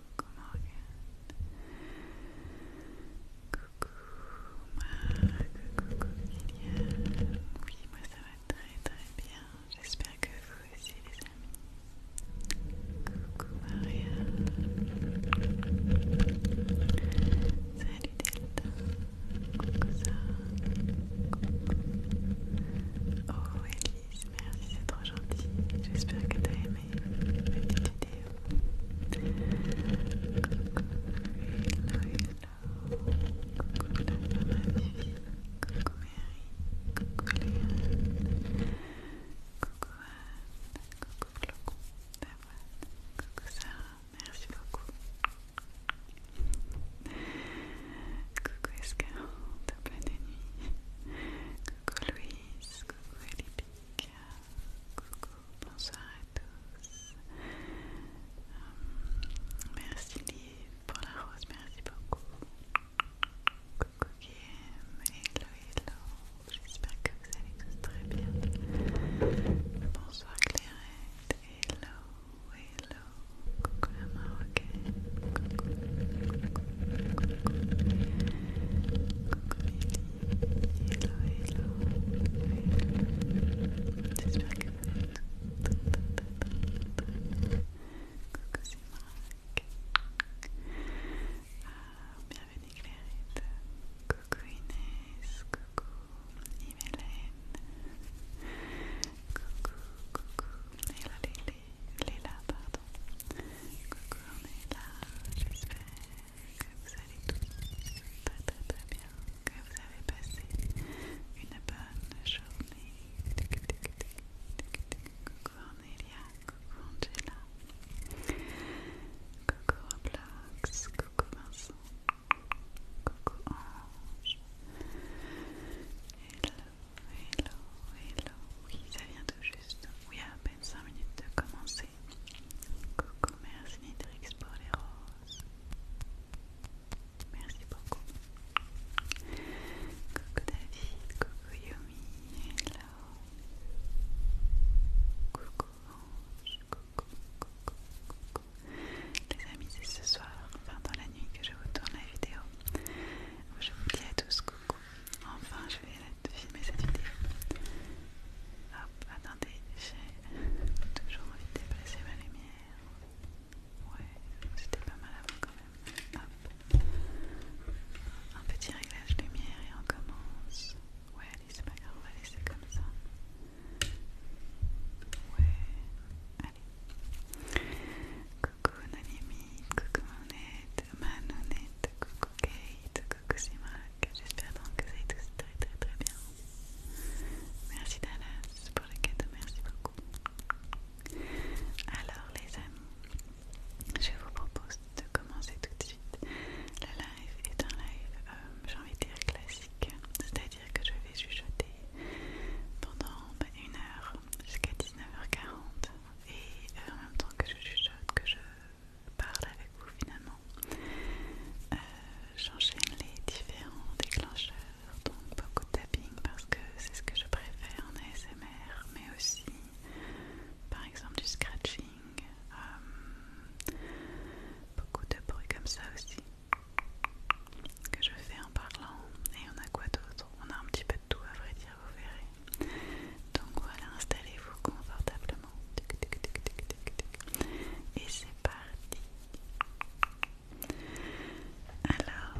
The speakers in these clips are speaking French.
Coucou Morgane. Coucou Oui, moi ça va très très bien. J'espère que vous aussi les amis. Coucou Maria. Salut Delta. Coucou ça merci, c'est trop gentil. J'espère que t'as aimé ma petite vidéo. Coucou, Coucou Coucou Mary. Coucou Coucou Anne. Coucou Coucou Sarah. Merci beaucoup. Coucou Escarante, de nuit. Coucou Louise, coucou Coucou, bonsoir à tous. Euh, merci Liv pour la rose, merci beaucoup. Coucou Guillaume, hello hello. J'espère que vous allez tous très bien. Bonsoir Clairette, hello, hello. Coucou la marocaine, coucou, Coucou Lily, hello hello, hello j'espère que vous allez bien. Coucou c'est Marc, bienvenue Clairette, coucou Inès, coucou, c'est coucou, coucou, hello Lily. Léla, pardon. Coucou, Cornelia, J'espère que vous allez tous très très bien, que vous avez passé une bonne journée. Coucou Cornelia, coucou Angela, coucou Roblox, coucou Vincent, coucou Ange. Hello, hello, hello. Oui, ça vient tout juste. Oui, 5 minutes de commencer. Coucou, merci Nitrix pour les roses. Merci beaucoup. Coucou David, coucou Yumi, hello. Coucou Ange, coucou, coucou, coucou. Les amis, c'est ce soir, enfin dans la nuit, que je vous tourne la vidéo. Je vous dis à tous coucou. Enfin, je vais de filmer cette vidéo. Hop, attendez, j'ai toujours envie de déplacer ma lumière. Ouais, c'était pas mal avant quand même. Hop. Un petit réglage lumière et on commence. Ouais, allez, c'est pas grave, on va laisser comme ça. Ouais, allez. Coucou Nanimi, coucou Monette, Manonette, coucou Kate, que c'est Marc, j'espère donc que vous allez tous très très très bien. Merci Dallas pour le cadeau, merci beaucoup. Alors les amis, je vous propose de commencer tout de suite. la live est un live, euh, j'ai envie de dire classique, c'est-à-dire que je vais chuchoter pendant bah, une heure jusqu'à 19h40 et euh, en même temps que je chuchote, que je parle avec vous finalement. Euh, j'enchaîne les différents déclencheurs, donc beaucoup de tapping parce que c'est ce que je préfère en ASMR, mais aussi par exemple du scratching, euh, beaucoup de bruit comme ça aussi que je fais en parlant. Et on a quoi d'autre On a un petit peu de tout à vrai dire vous verrez. Donc voilà, installez-vous confortablement. Et c'est parti. Alors,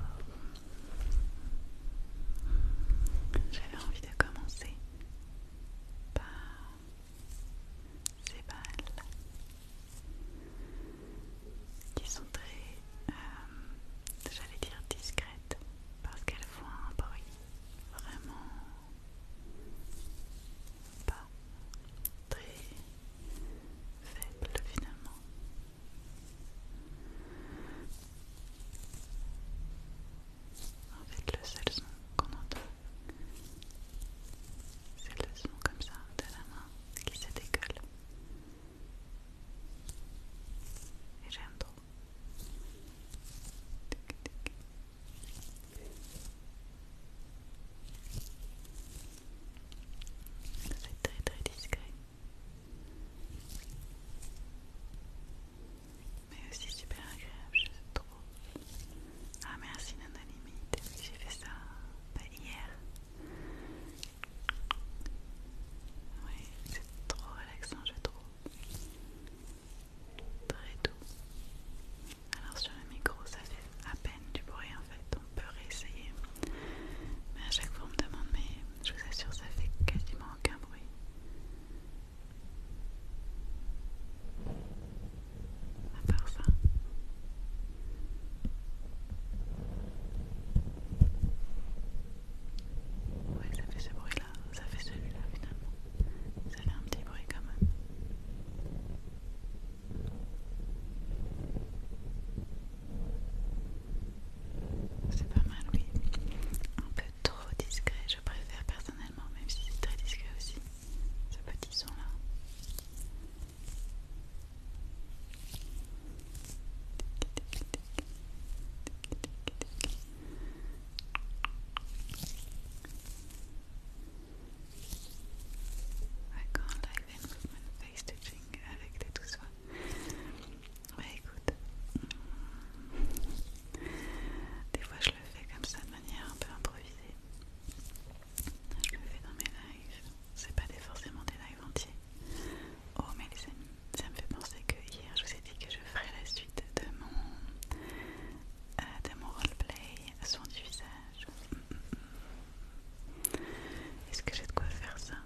j'avais envie de commencer par ces balles qui sont très, euh, j'allais dire discrètes, parce qu'elles font un bruit vraiment pas très faible finalement. avec le seul son qu'on entend, c'est le son comme ça de la main qui se dégueule. Et j'aime trop. C'est très très discret. Mais aussi super agréable, je trouve. Ah merci Nananim, j'ai fait ça pas bah, hier. Oui, c'est trop relaxant je trouve très doux. Alors sur le micro ça fait à peine du bruit en fait, on peut réessayer. Mais à chaque fois on me demande mais je vous assure ça fait quasiment aucun bruit. À part ça. Ouais ça fait ce bruit ça fait celui-là finalement. Ça fait un petit bruit quand même. C'est pas mal, oui. Un peu trop discret, je préfère personnellement, même si c'est très discret aussi, ce petit son là. I live face thing avec des tout soins. écoute, mm, des fois je le fais comme ça de manière un peu improvisée. Je le fais dans mes lives, c'est pas forcément des lives entiers. Oh, mais les ça me fait penser que hier je vous ai dit que je je ferai la suite de mon, euh, roleplay soin du visage. Est-ce que j'ai de quoi faire ça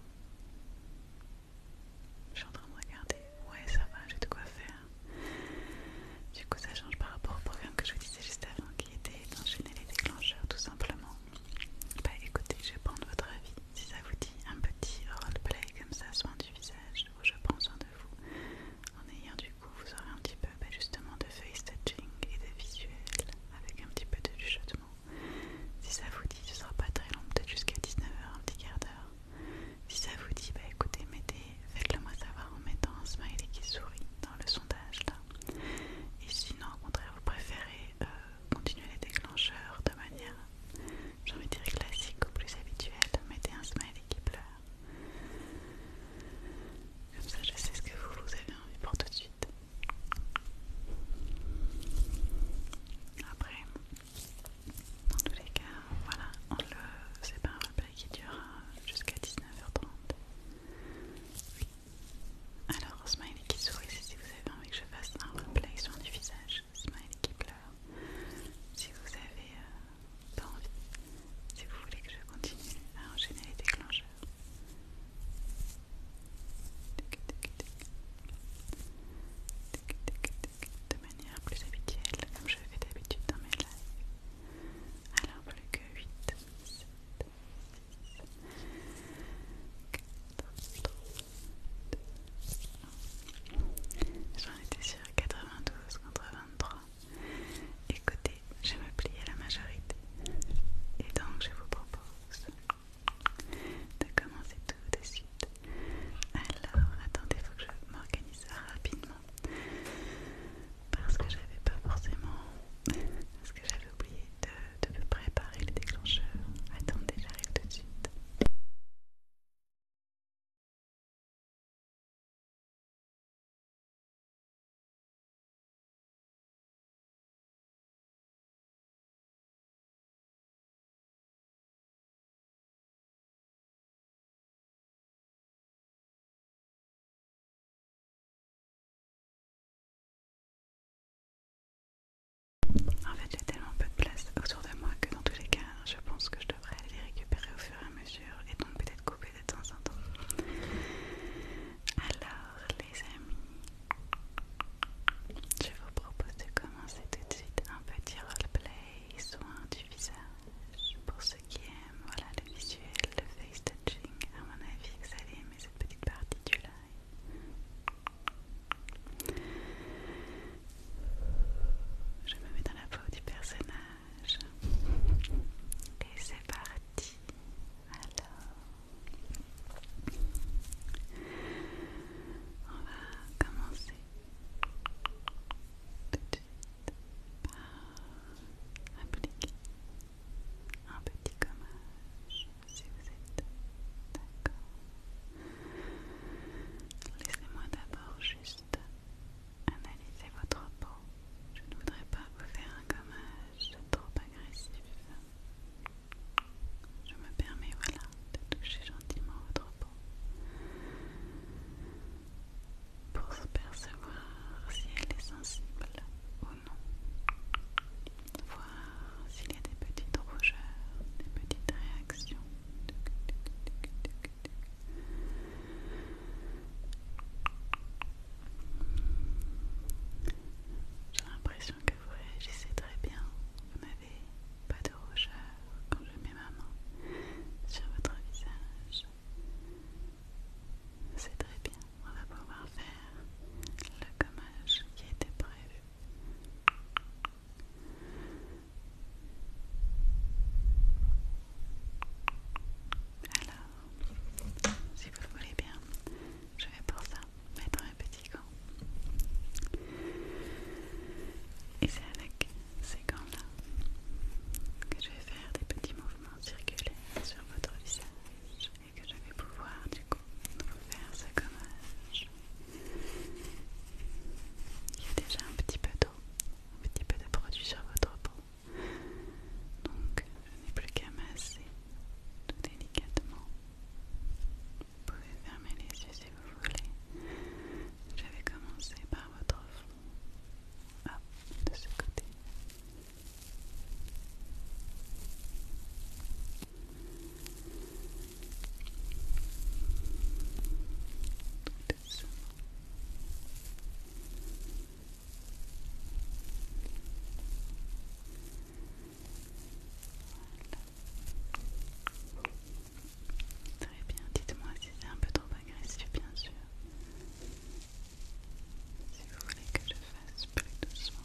Je suis en train de regarder. Ouais, ça va, j'ai de quoi faire. Du coup, ça change par rapport au programme que je vous disais juste avant qui était d'enchaîner les déclencheurs tout simplement. Bah écoutez, je vais prendre votre avis. Si ça vous dit un petit roleplay comme ça, soin du visage, où je prends soin de vous, en ayant du coup vous aurez un petit peu bah, justement de face touching et de visuel avec un petit peu de chuchotement si ça vous dit ce sera pas très long peut-être jusqu'à 19h un petit quart d'heure si ça vous dit bah écoutez mettez faites le moi savoir en mettant un smiley qui sourit dans le sondage là et sinon au contraire vous préférez euh, continuer les déclencheurs de manière j'ai envie de dire classique ou plus habituelle mettez un smiley qui pleure comme ça, je sais ce que vous, vous avez envie pour tout de suite. Après, dans tous les cas, voilà, on c'est pas un replay qui dure euh, jusqu'à 19h30. Alors, smiley qui sourit, si vous avez envie que je fasse un replay sur du visage. Smiley qui pleure si vous avez pas envie, si vous voulez que je continue à enchaîner les déclencheurs. De manière plus habituelle, comme je fais d'habitude dans mes lives. Alors plus que 8, 7, 6, 4, 3, 2, 1 J'en étais sur 92, 91, et Écoutez, je me à la majorité. Et donc, je vous propose de commencer tout de suite. Alors, attendez, il faut que je m'organise rapidement. Parce que j'avais pas forcément. Parce que j'avais oublié de, préparer le déclencheur. Attendez, j'arrive tout de suite. En fait, j'ai tellement peu de place autour de moi que dans tous les cas, je pense que je aller les récupérer au fur et à mesure et donc peut-être couper de temps en temps. Alors les amis, je vous propose de commencer tout de suite un petit roleplay soin du visage. Pour ceux qui aiment voilà, le visuel, le face touching, à mon avis vous allez aimer cette petite partie du live. Je me mets dans la peau du personnage. Et c'est parti. Alors, on va commencer tout de suite par appliquer un petit gommage si vous êtes d'accord. Laissez-moi d'abord juste Analysez votre peau. Je ne voudrais pas vous faire un gommage trop agressif. Je me permets, voilà, de toucher gentiment votre peau pour se percevoir si elle est sensible ou non. Voir s'il y a des petites rougeurs, des petites réactions. J'ai l'impression que vous réagissez très bien. Vous n'avez pas de rougeur quand je mets ma main sur votre visage. C'est très bien. On va pouvoir faire le gommage qui était prévu. Alors, si vous voulez bien, je vais pour ça mettre un petit gant. Et c'est avec ces gants-là que je vais faire des petits mouvements circulaires sur votre visage et que je vais pouvoir du coup vous faire ce gommage. Il y a déjà un petit peu d'eau un petit peu de produit sur votre peau. Donc, je n'ai plus qu'à masser tout délicatement. Vous pouvez fermer les yeux si vous voulez. Je vais commencer par votre front. Ah, de ce côté. Très bien, dites-moi si c'est un peu trop agressif, bien sûr. Si vous voulez que je fasse plus doucement.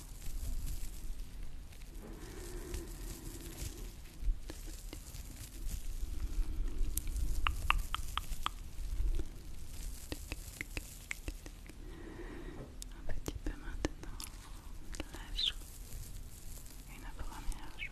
Un petit peu maintenant, la joue, une première joue.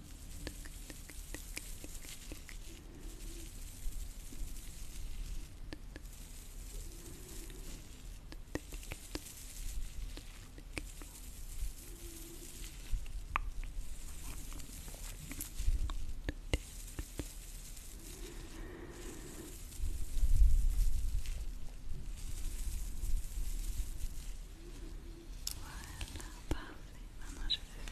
Voilà, parfait. Maintenant, je vais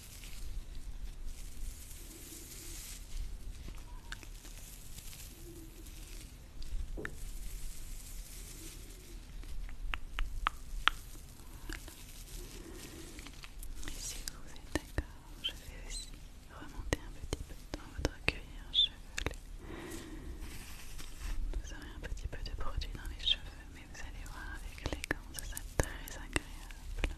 Et si vous êtes d'accord, je vais aussi remonter un petit peu dans votre cuir cheveux. Vous aurez un petit peu de produit dans les cheveux, mais vous allez voir avec l'écran, ça très agréable.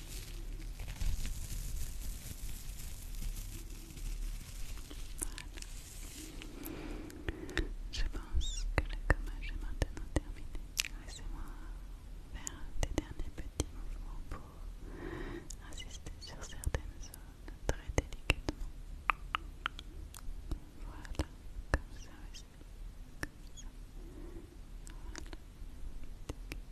Voilà. Je pense que le gommage est maintenant terminé. Laissez-moi faire des derniers petits mouvements pour insister sur certaines zones très délicatement. Voilà, comme ça aussi. Comme ça. Voilà. Parfait,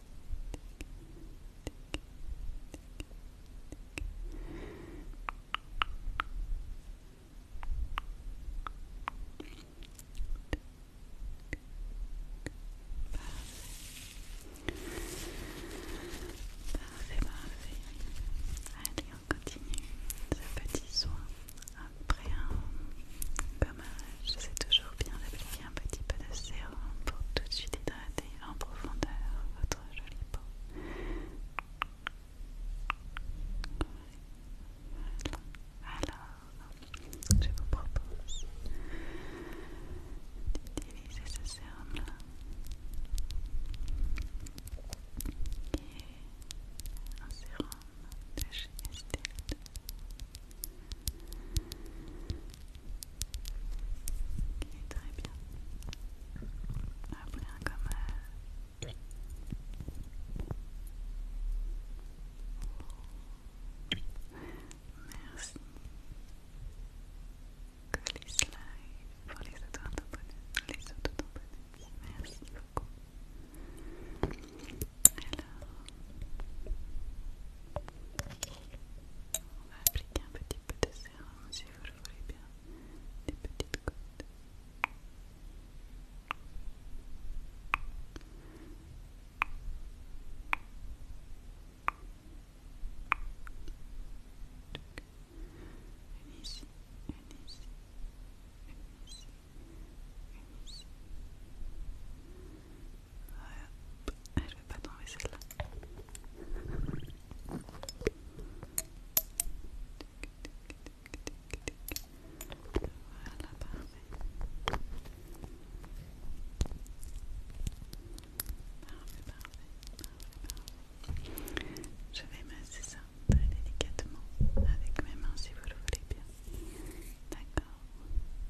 parfait. Allez, on continue ce petit soin après un je sais toujours bien d'appliquer un petit peu de sérum pour tout de suite hydrater en profondeur votre joli peau. Alors, je vous propose d'utiliser ce sérum-là qui est un sérum de chez Estée Okay, très bien. Après, comme euh... Merci. Que Colis Live pour les auto-tamponnettes. Les auto-tamponnettes. Merci beaucoup. Alors, on va appliquer un petit peu de sérum si vous le voulez bien, des petites gouttes. Une ici, une ici, une ici, une ici, une ici, voilà, je vais pas t'enlever celle-là. Voilà, parfait. Parfait, parfait, parfait, parfait. Je vais masser ça très délicatement avec mes mains si vous le voulez bien. D'accord.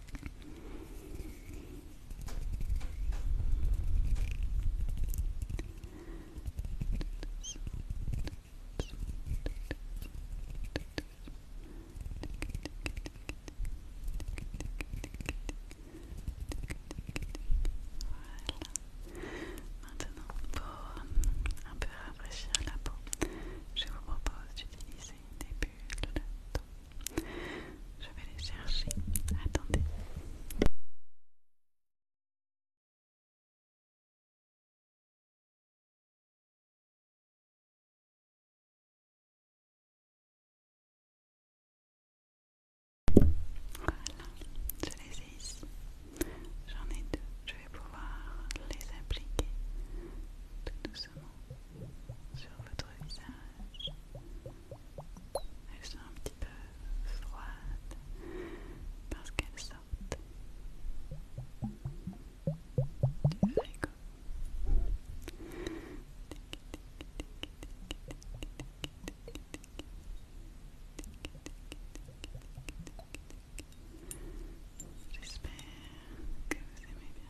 Maintenant, pour un peu rafraîchir la peau, je vous propose d'utiliser des bulles de je vais les chercher. Attendez. Voilà, je les ai ici. J'en ai deux. Je vais pouvoir les appliquer sur votre visage. Elles sont un petit peu froides parce qu'elles sortent J'espère que vous aimez bien.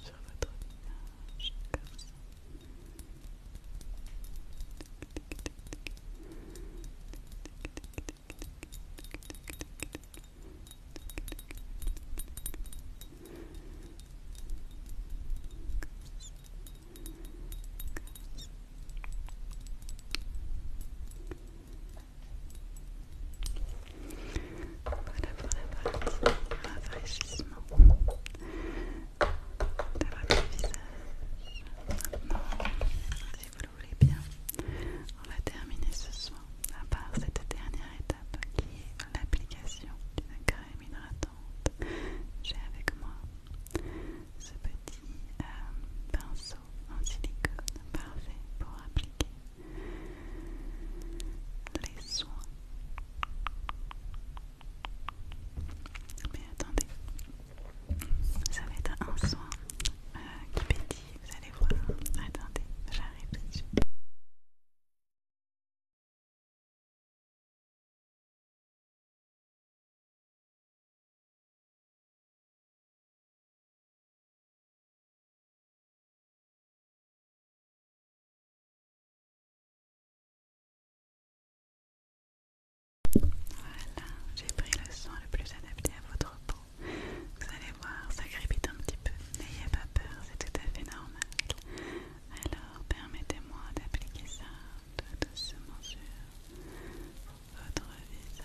sur votre visage, comme ça. Comme ça. Voilà, pour la partie rafraîchissement de votre visage. Maintenant, si vous le voulez bien, on va terminer ce soir à part cette dernière étape qui est l'application d'une crème hydratante. J'ai avec moi ce petit euh, pinceau en silicone parfait pour appliquer les soins. Mais attendez, ça va être un soin euh, qui pétille, vous allez voir. Attendez, j'arrive voilà, j'ai pris le son le plus adapté à votre peau. Vous allez voir, ça crépite un petit peu. N'ayez pas peur, c'est tout à fait normal. Alors, permettez-moi d'appliquer ça tout doucement sur votre visage.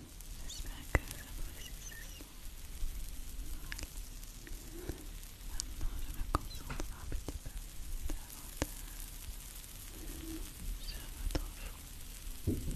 J'espère que vous appréciez ceci. Voilà. Maintenant, je me concentre un petit peu davantage sur votre front. Voilà. Et davantage sur le bas de votre visage.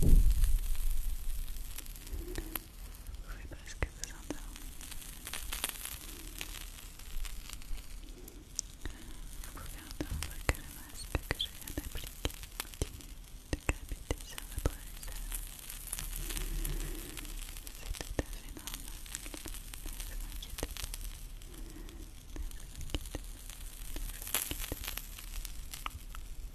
Vous pouvez presque vous endormir. Vous pouvez entendre que le masque que je viens d'appliquer continue de graviter sur votre réserve C'est tout à fait normal. Ne vous inquiétez pas. Ne vous inquiétez pas. Ne vous inquiétez pas.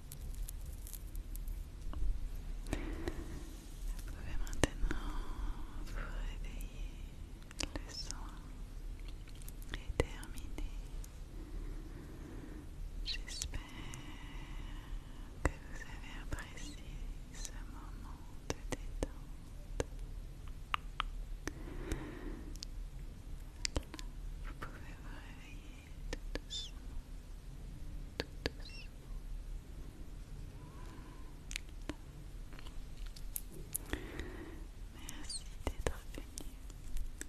Vous pouvez maintenant vous réveiller. Le soin est terminé. J'espère que vous avez apprécié ce moment de détente. Vous pouvez vous réveiller. Merci d'être venu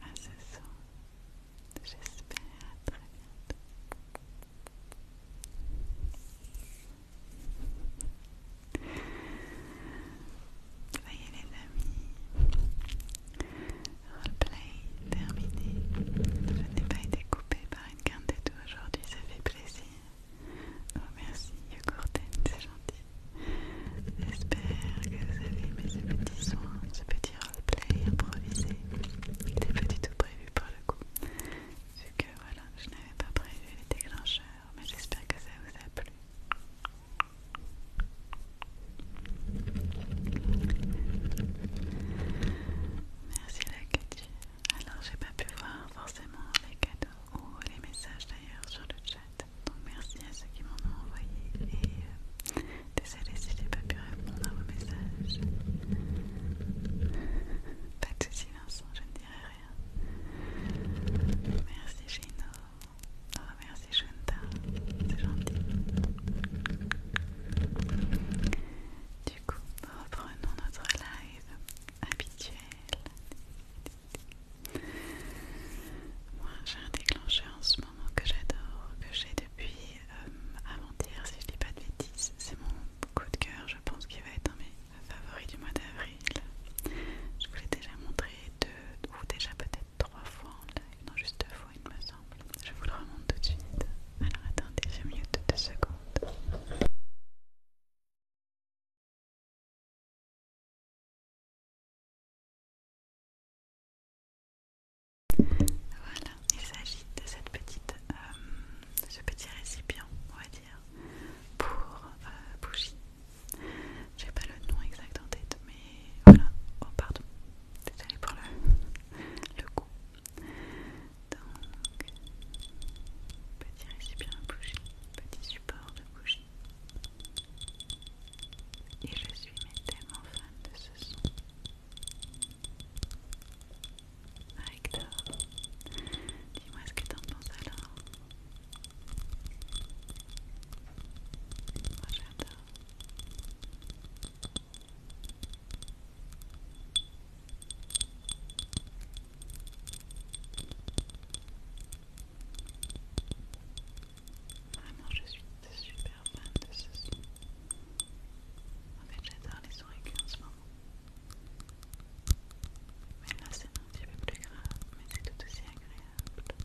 à ce soir J'espère à très bientôt. Voyez les amis, roleplay terminé. Je n'ai pas été coupée par une tout aujourd'hui, ça fait plaisir. Oh merci Yogurten, c'est gentil. J'espère que vous avez aimé ce petit soin, ce petit roleplay improvisé. Il n'était pas du tout prévu pour le coup. Vu que voilà, je n'avais pas prévu les déclencheurs, mais j'espère que ça vous a plu. Merci la Cathy. Alors j'ai pas pu voir forcément les cadeaux ou les messages d'ailleurs sur le chat. Donc merci à ceux qui m'en ont envoyé et euh, désolé si j'ai pas pu répondre à vos messages. Pas de soucis Vincent, je ne dirai rien. Merci Gino. Ah, merci Shunta, c'est gentil. Du coup, reprenons notre live habituel. Moi, j'ai un déclencheur en ce moment que j'adore, que j'ai depuis à euh, avant-hier, si je dis pas de bêtises. C'est mon coup de cœur, je pense qu'il va être de mes favoris du mois d'avril. Je vous l'ai déjà montré deux, ou déjà peut-être trois fois en live, non, juste deux fois, une je vous le remonte tout de suite. Alors attendez, je mute deux secondes. Voilà, il s'agit de euh, ce petit récipient, on va dire, pour euh, bougie. J'ai pas le nom exact en tête, mais voilà. Oh pardon, Désolée pour le, le goût. Donc, petit récipient de bougie, petit support de bougie. Et je suis mais tellement fan de ce son. Hector, dis-moi ce que t'en penses alors. Moi j'adore non, je suis super fan de ce son. En fait, j'adore les oreilles en ce moment. Mais là, c'est un petit peu plus grave, mais c'est tout aussi agréable.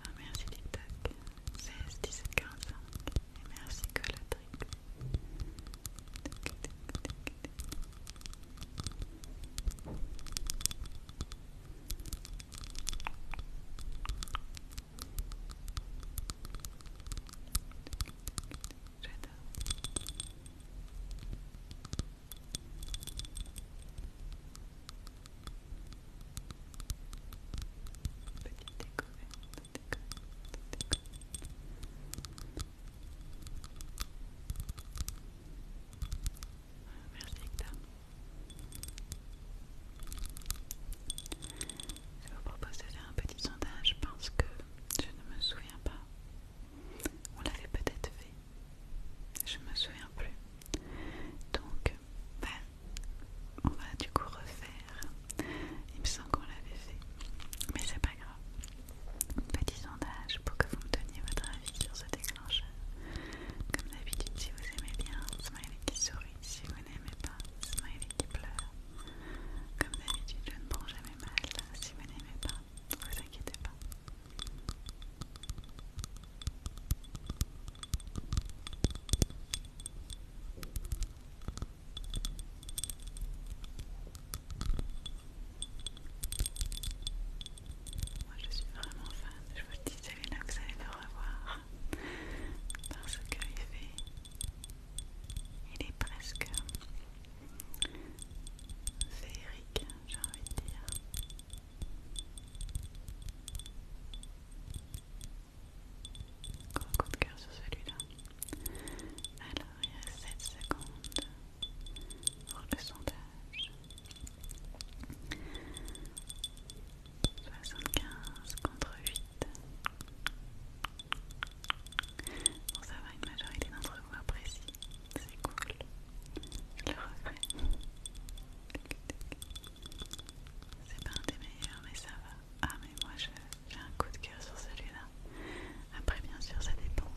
Ah, merci Tic-Tac, 16, 17, cinq et merci Colatrix. J'adore. Petite découverte, découverte. Merci Hector. Je vous propose de faire un petit sondage parce que je ne me souviens pas. On l'avait peut-être fait. Je ne me souviens plus. Donc ben, on va du coup refaire. Il me semble qu'on l'avait fait, mais c'est pas grave. Petit sondage pour que vous me donniez votre avis sur ce déclencheur. Comme d'habitude, si vous aimez bien, smiley qui sourit. Si vous n'aimez pas, smiley qui pleure. Comme d'habitude, je ne prends jamais mal. Si vous n'aimez pas, ne vous inquiétez pas. Moi je suis vraiment fan, je vous le dis que là vous allez le revoir parce que il il est presque féerique j'ai envie de dire Gros coup de cœur sur celui-là. Alors, il reste 7 secondes pour le sondage. 75 contre 8. Bon, ça va, une majorité d'entre vous apprécie. C'est cool. Je le regrette. C'est pas un des meilleurs, mais ça va. Ah, mais moi j'ai un coup de cœur sur celui-là. Après, bien sûr, ça dépend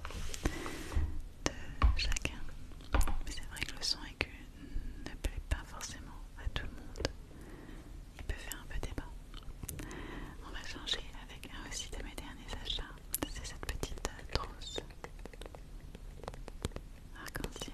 de chacun. Mais c'est vrai que le son aigu ne plaît pas forcément à tout le monde. Il peut faire un peu débat. On va changer avec un aussi de mes derniers achats. C'est cette petite trousse arc-en-ciel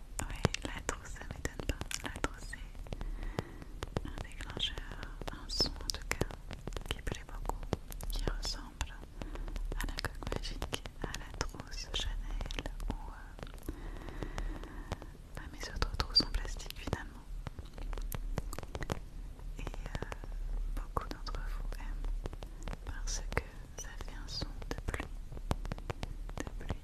Oui, la trousse, ça m'étonne pas. La trousse, c'est un déclencheur, un son en tout cas, qui plaît beaucoup, qui ressemble à la coque magique, à la trousse Chanel ou euh, bah, mes autres trousses en plastique finalement. Et euh, beaucoup d'entre vous aiment parce que ça fait un son de pluie, de pluie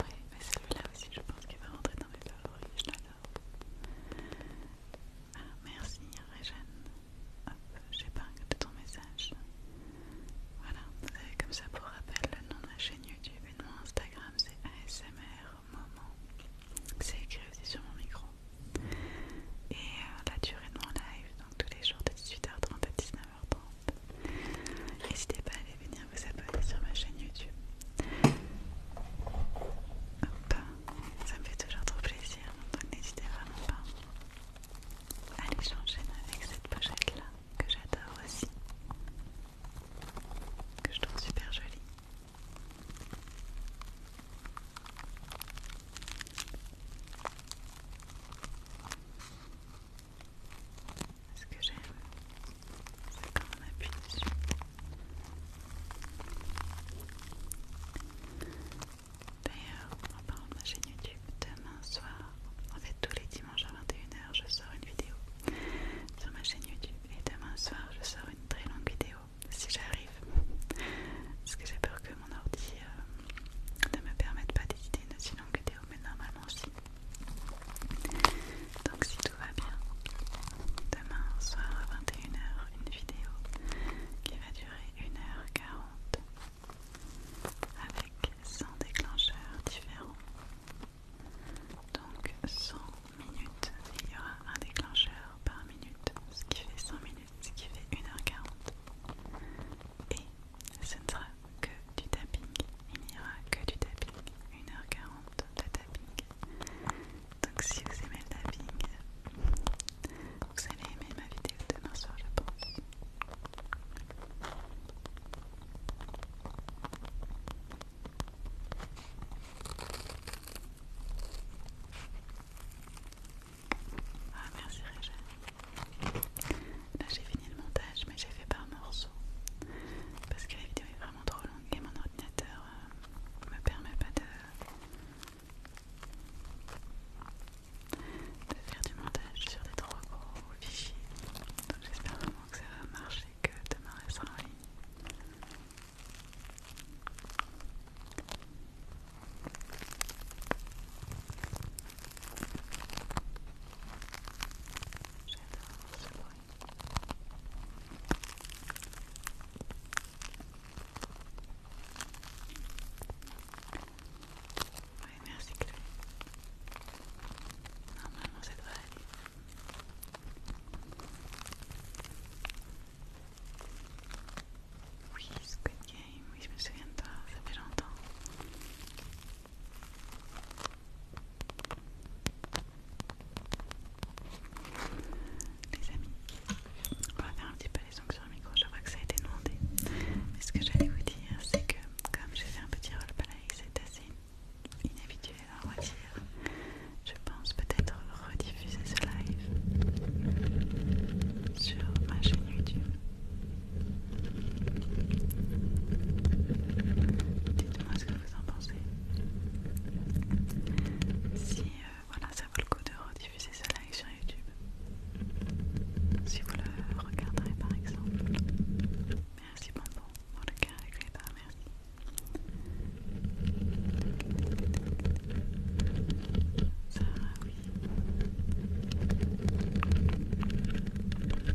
Oui, mais celui-là aussi, je pense qu'il va rentrer dans mes favoris, je l'adore. Ah, merci Réjeanne, hop, pas de ton message. Voilà, vous avez comme ça pour rappel le nom de ma chaîne YouTube et de mon Instagram, c'est ASMR Moment. C'est écrit aussi sur mon micro. Et euh, la durée de mon live, donc tous les jours de 18h30 à 19h N'hésitez pas à aller venir vous abonner sur ma chaîne YouTube. ça me fait toujours trop plaisir, donc n'hésitez vraiment pas. à aller j'enchaîne avec cette pochette là que j'adore aussi, que je trouve super jolie. Ce que j'aime, c'est quand on appuie dessus. D'ailleurs, en parlant de ma chaîne YouTube, demain soir, en fait tous les dimanches à 21h, je sors une vidéo sur ma chaîne YouTube. Et demain soir, je sors une très longue vidéo, si j'arrive. Parce que j'ai peur que mon ordi... Euh, ne me permettent pas d'éditer une si longue vidéo, mais normalement si. Donc si tout va bien, demain soir à 21h, une vidéo qui va durer 1h40 avec 100 déclencheurs différents. Donc 100 minutes, il y aura un déclencheur par minute, ce qui fait 100 minutes, ce qui fait 1h40 et ce ne sera que du tapping. Il n'y aura que du tapping. 1h40 de tapping. Donc si vous aimez le tapping, vous allez aimer ma vidéo demain soir je pense. Ah merci Réjeanne. Là j'ai fini le montage mais j'ai fait par morceaux parce que la vidéo est vraiment trop longue et mon ordinateur ne euh, me permet pas de, faire du montage sur des trop gros fichiers. Donc j'espère vraiment que ça va marcher, que demain elle sera en ligne. J'adore ce bruit. Oui, merci Chloé. Normalement, ça devrait aller. Oui, Squid Game, oui, je me souviens de toi, ça fait longtemps. Les amis, on va faire un petit peu les sur le micro, je vois que ça a été demandé. Mais ce que j'allais vous dire, c'est que comme j'ai fait un petit rôle play, c'est assez inhabituel à dire Je pense peut-être rediffuser ce live sur ma chaîne YouTube. Dites-moi ce que vous en pensez. Si euh, voilà, ça vaut le coup de rediffuser ce live sur YouTube. Si vous le regarderez par exemple. Merci Bonbon pour le cœur avec les bas, merci. oui.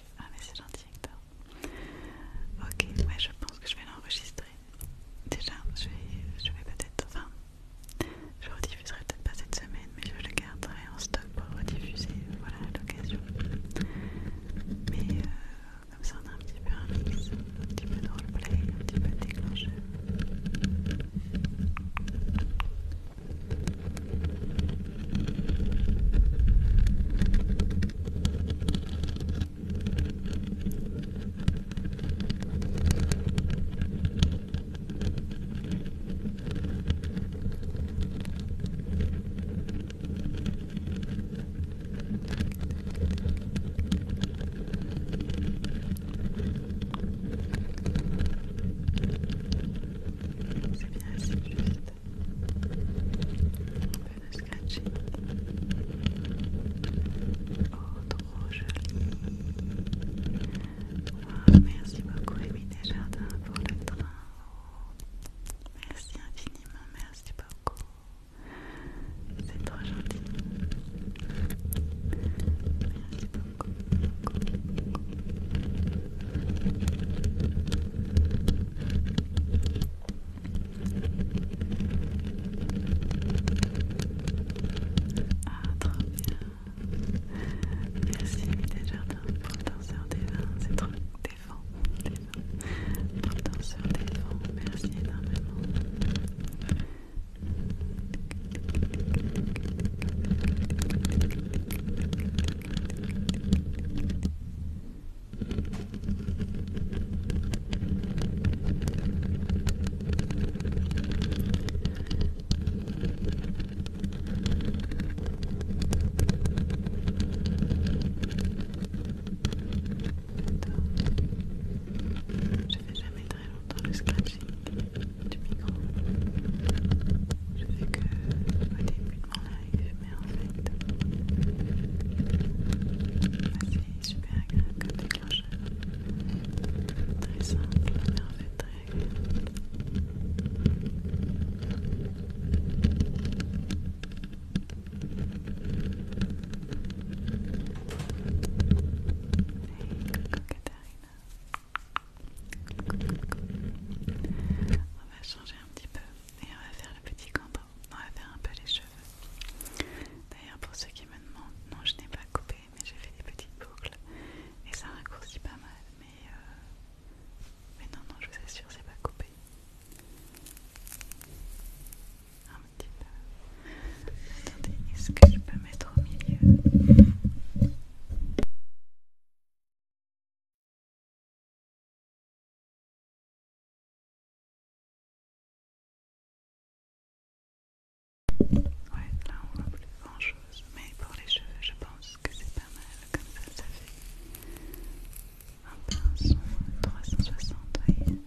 Ah, mais c'est gentil, Hector. Ok, ouais, je pense que je vais l'enregistrer. Déjà, je vais, je vais peut-être. Enfin, je rediffuserai peut-être pas cette semaine, mais je le garderai en stock pour rediffuser. Voilà, l'occasion. Mais euh, comme ça, on a un petit peu un mix, un petit peu de roleplay, un petit peu de déclencheur. C'est bien assez juste. Un peu de scratching. Oh, trop joli. merci beaucoup, Émilie Desjardins, pour le train. merci infiniment, merci beaucoup. C'est trop gentil. Merci beaucoup. Ah, trop bien. Merci, Mita Jardin, pour le danseur des vins. C'est trop des vents, des vents. Pour le danseur des vents, merci énormément. Je fais jamais très longtemps le scratching du micro. Je fais que au début de live, mais en fait, c'est super agréable comme déclencheur. Très simple, mais en fait très agréable. Hey, Coucou, coucou. On va changer un petit peu et on va faire le petit cambo. On va faire un peu les cheveux. D'ailleurs, pour ceux qui me demandent, non, je n'ai pas coupé, mais j'ai fait des petites boucles et ça raccourcit pas mal. Mais, euh, mais non, non, je vous assure, c'est pas coupé. Un petit peu. Attendez, est-ce que je peux mettre au milieu Ouais, là on voit plus grand chose, mais pour les cheveux, je pense que c'est pas mal comme ça. Ça fait un pinceau 360, oui.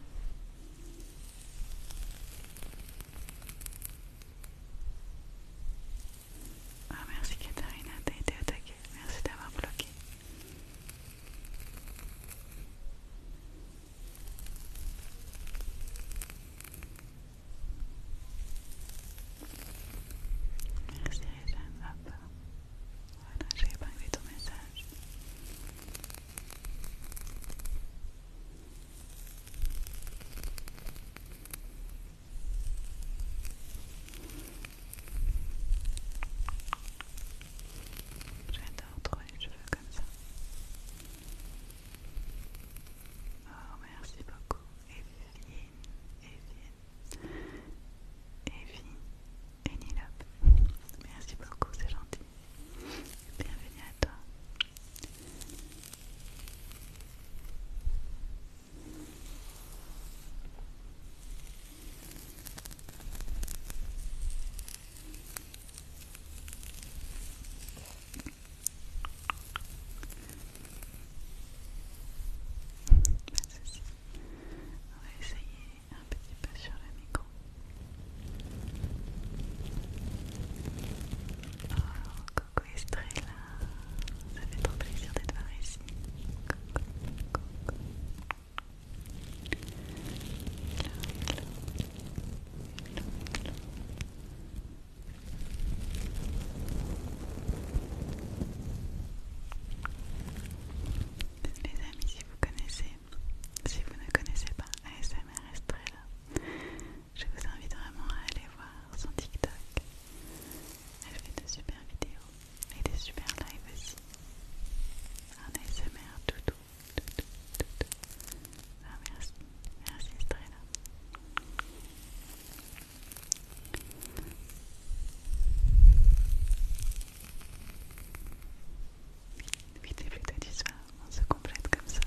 Ah, merci Katharina, t'as été attaquée Merci d'avoir bloqué. Merci Réjeanne, hop. Voilà, j'ai épinglé ton message. J'adore trop les cheveux comme ça. Oh, merci beaucoup, Evie, Evie, Evie et Nilop. Merci beaucoup, c'est gentil. Bienvenue à toi. On va essayer un petit peu sur le micro. Oh, très là. ça fait trop plaisir d'être par ici. Coco. Les amis, si vous connaissez, si vous ne connaissez pas ASMR là je vous invite vraiment à aller voir son TikTok. Elle fait de super vidéos et des super lives aussi. Un ASMR tout doux, tout doux, tout doux. Ah, merci, merci Strella. Vite les flûtes du on se complète comme ça.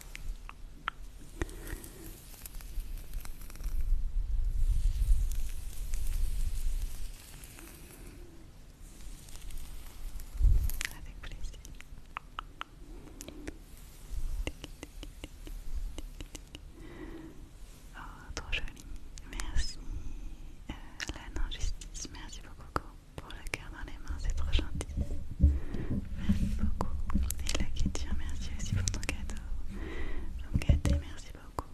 Avec plaisir. Oh, trop joli. Merci, euh, la non-justice. Merci beaucoup, Pour le cœur dans les mains, c'est trop gentil. Merci beaucoup. Et la Kétia, merci aussi pour ton cadeau. merci beaucoup.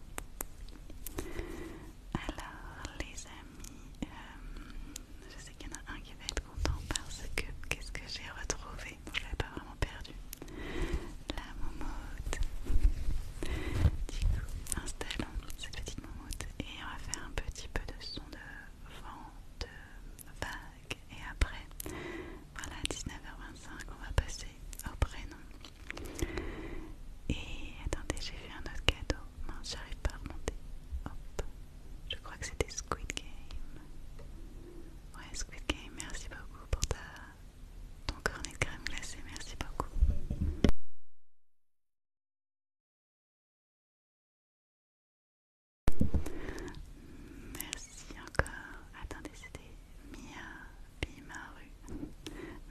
Alors les amis, euh, je sais qu'il y en a un qui va être content parce que qu'est-ce que j'ai retrouvé Je ne l'avais pas vraiment perdu. La momote. Du coup, installons cette petite momote et on va faire un petit peu de son de vent, de vague et après, voilà 19h25, on va passer au prénom. Et attendez, j'ai vu un autre cadeau. Mince, j'arrive pas à remonter. Hop. Je crois que c'était Squid Game. Ouais, Squid Game, merci beaucoup pour ta... ton cornet de crème glacée. Merci beaucoup. Merci encore. Attendez, c'était Mia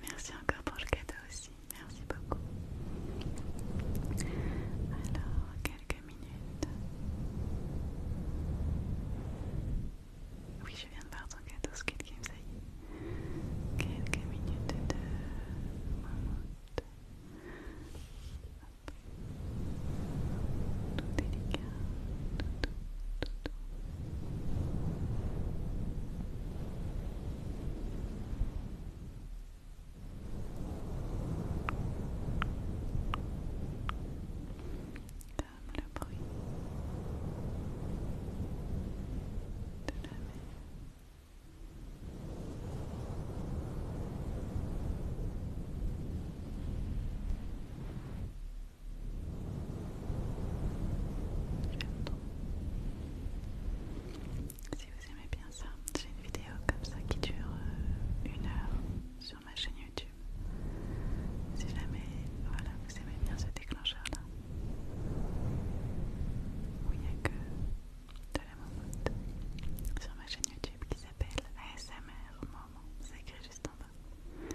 Merci encore pour le cadeau aussi. Merci beaucoup. Alors, quelques minutes. Oui, je viens de voir ton cadeau, ce Game, ça y est. Quelques minutes de. Mammouth. Tout délicat, tout, tout, tout. Comme le bruit de la mer. Si vous aimez bien ça, j'ai une vidéo comme ça qui dure euh, une heure sur ma chaîne YouTube. Si jamais voilà, vous aimez bien ce déclencheur là, où il n'y a que de la mamoute sur ma chaîne YouTube qui s'appelle ASMR Moment, c'est écrit juste en bas.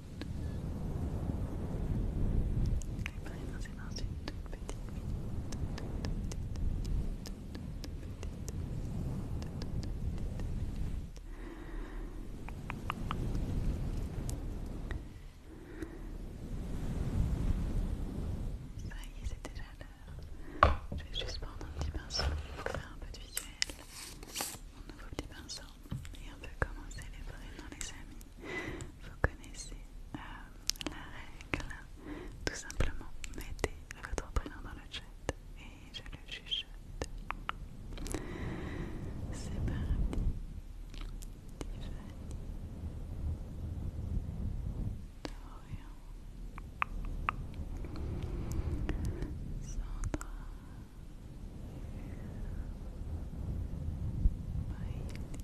Ça y est, c'est déjà l'heure. Je vais juste prendre un petit pinceau pour faire un peu de visuel. Mon nouveau petit pinceau et on peut commencer les prénoms les amis. Vous connaissez euh, la règle, hein. tout simplement mettez votre prénom dans le chat et je le chuchote. C'est parti.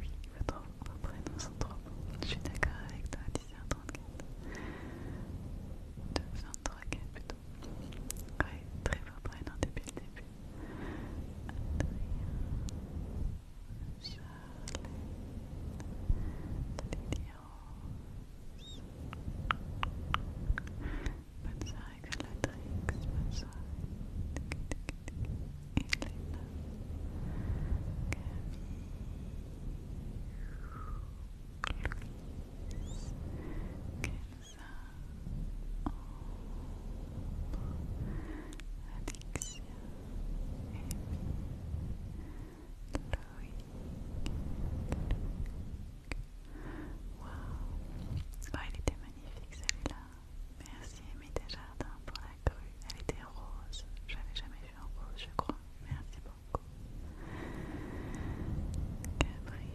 Oui, votre, va trop sont trop bons. Je suis d'accord avec toi, 10h34. 2 h h plutôt. Oui, très fort prénom depuis le début. Bonne soirée Galatrix, bonne soirée Elena, Camille, Louise, Kenza, Ambre, Alexia, Amy, Loïc, Luc, Wow, oh, il était magnifique celui-là. Merci Amy Desjardins pour la crue. Elle était rose. Je n'avais jamais vu en rose, je crois. Merci beaucoup. Ashley.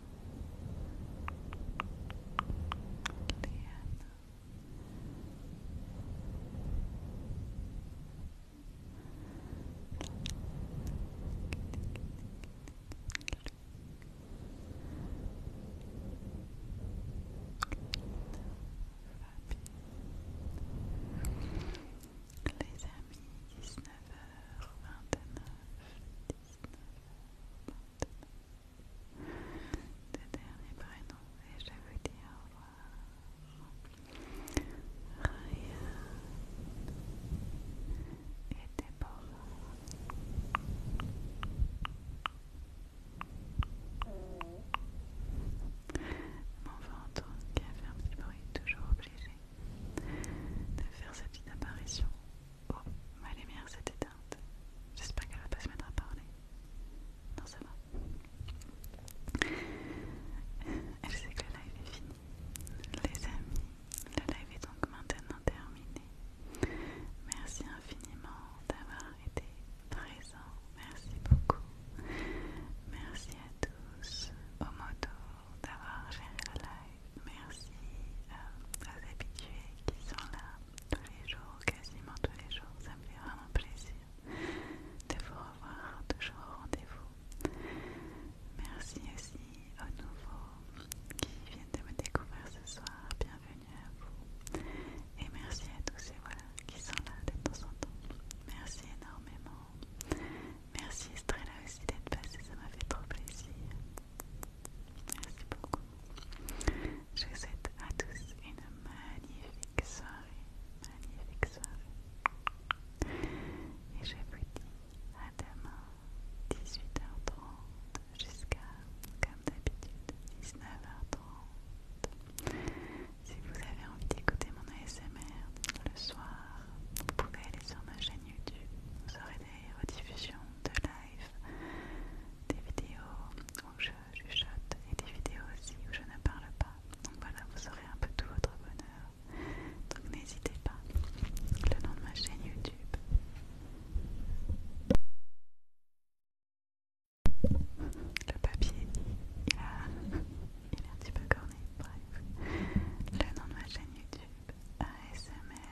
Les amis, 19 h 29 le dernier prénom et je vous dire au revoir. n'était et Mon ventre qui a fait un petit bruit, toujours obligé de faire cette petite apparition. Oh, ma lumière s'est éteinte. J'espère qu'elle va pas se mettre à parler. Non, ça va. Elle sait que le live est fini. Les amis, le live est donc maintenant terminé. Merci infiniment d'avoir été présent. Merci beaucoup. Merci à tous. Au d'avoir géré le live. Merci euh, aux habitués qui sont là tous les jours, quasiment tous les jours. Ça me fait vraiment plaisir de vous revoir, toujours au rendez-vous. Merci aussi aux nouveaux qui viennent de me découvrir ce soir. Bienvenue à vous. Et merci à tous ceux voilà, qui sont là de temps en temps. Merci énormément. Merci Estrella aussi d'être passé. ça m'a fait trop plaisir. Merci beaucoup. Je vous souhaite à tous une magnifique soirée. Magnifique soirée. Et je vous dis à demain, 18h30 jusqu'à, comme d'habitude, 19h30. Si vous avez envie d'écouter mon ASMR le soir, vous pouvez aller sur ma chaîne YouTube. Vous aurez des rediffusions de live, des vidéos où je chuchote et des vidéos aussi où je ne parle pas. Donc voilà, vous aurez un peu tout votre bonheur. Donc n'hésitez pas. Le nom de ma chaîne YouTube. Le papier, il il est un petit peu corné, bref. Le nom de ma chaîne YouTube, ASMR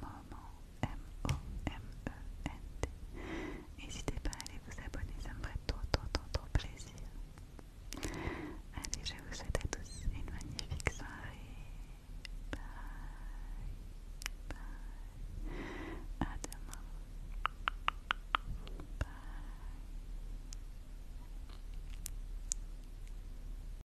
moment M-O-M-E-N-T. N'hésitez pas à aller vous abonner, ça me ferait trop, trop, trop, trop plaisir. Allez, je vous souhaite à tous une magnifique soirée. Bye, bye. À demain. Bye.